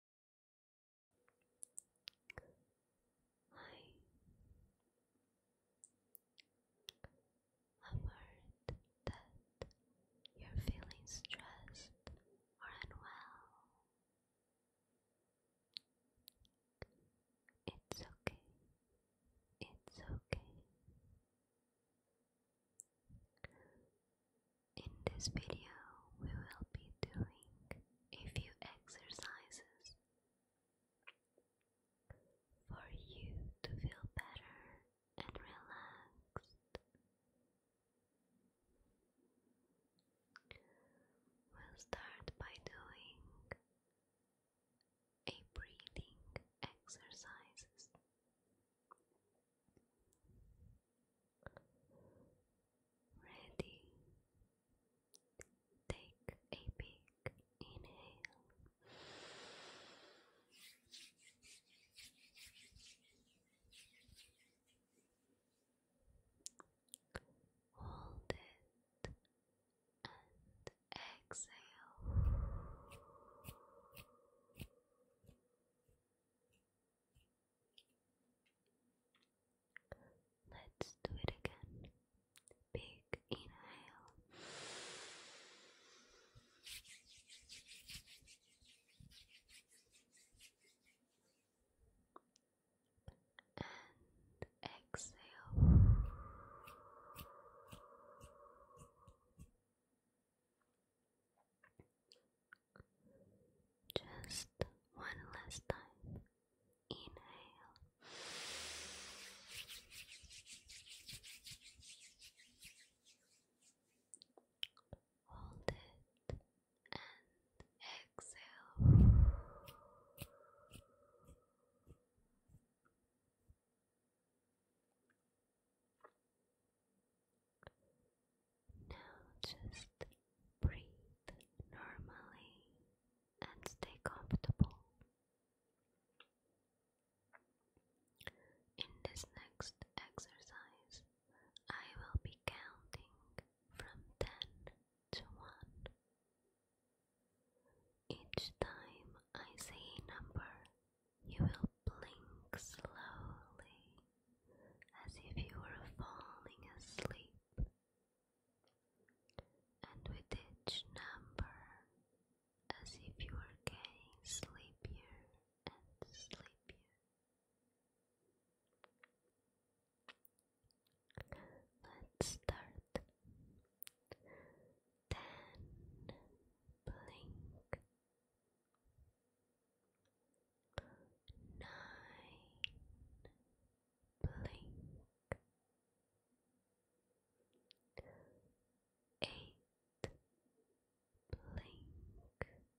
I have heard that you're feeling stressed or unwell. It's okay. It's okay. In this video, we will be doing a few exercises for you to feel better and relaxed. We'll start by doing a breathing exercises. Ready. Take a big inhale. Hold it and exhale. Let's do it again. Big inhale. And exhale. Just one last time. Inhale. Hold it and exhale. Now just breathe normally and stay comfortable. In this next exercise, I will be counting from 10 to 1. Each time I say a number, you will blink slowly as if you were falling asleep. And with each number, as if you were getting sleepier and sleepier. Let's start. Ten blink nine blink eight blink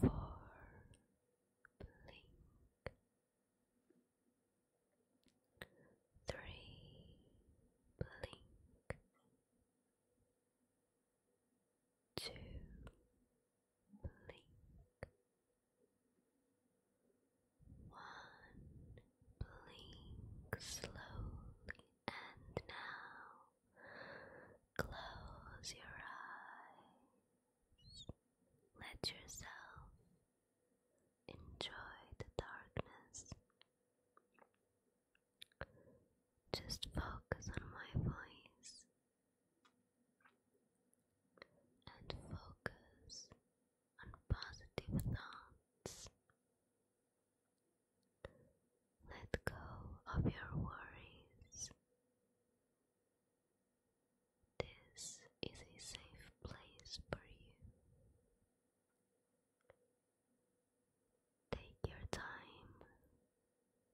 Four blink three blink two blink one blink slowly and now Close your eyes. Let yourself enjoy the darkness. Just focus on my voice and focus on positive thoughts. Let go of your worries. This is a safe place for you. Take your time.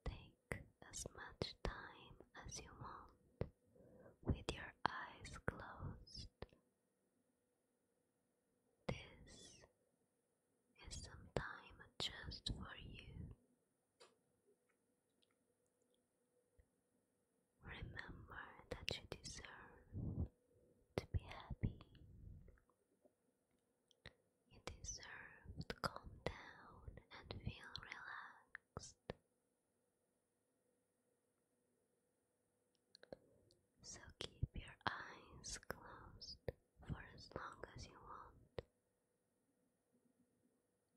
Take as much time as you want with your eyes closed. This is some time just for you. Remember that you deserve to be happy. You deserve to calm down and feel relaxed. So keep your eyes closed for as long as you want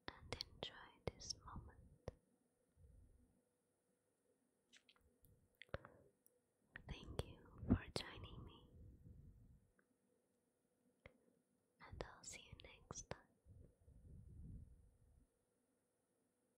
and enjoy this moment. Thank you for joining me, and I'll see you next time.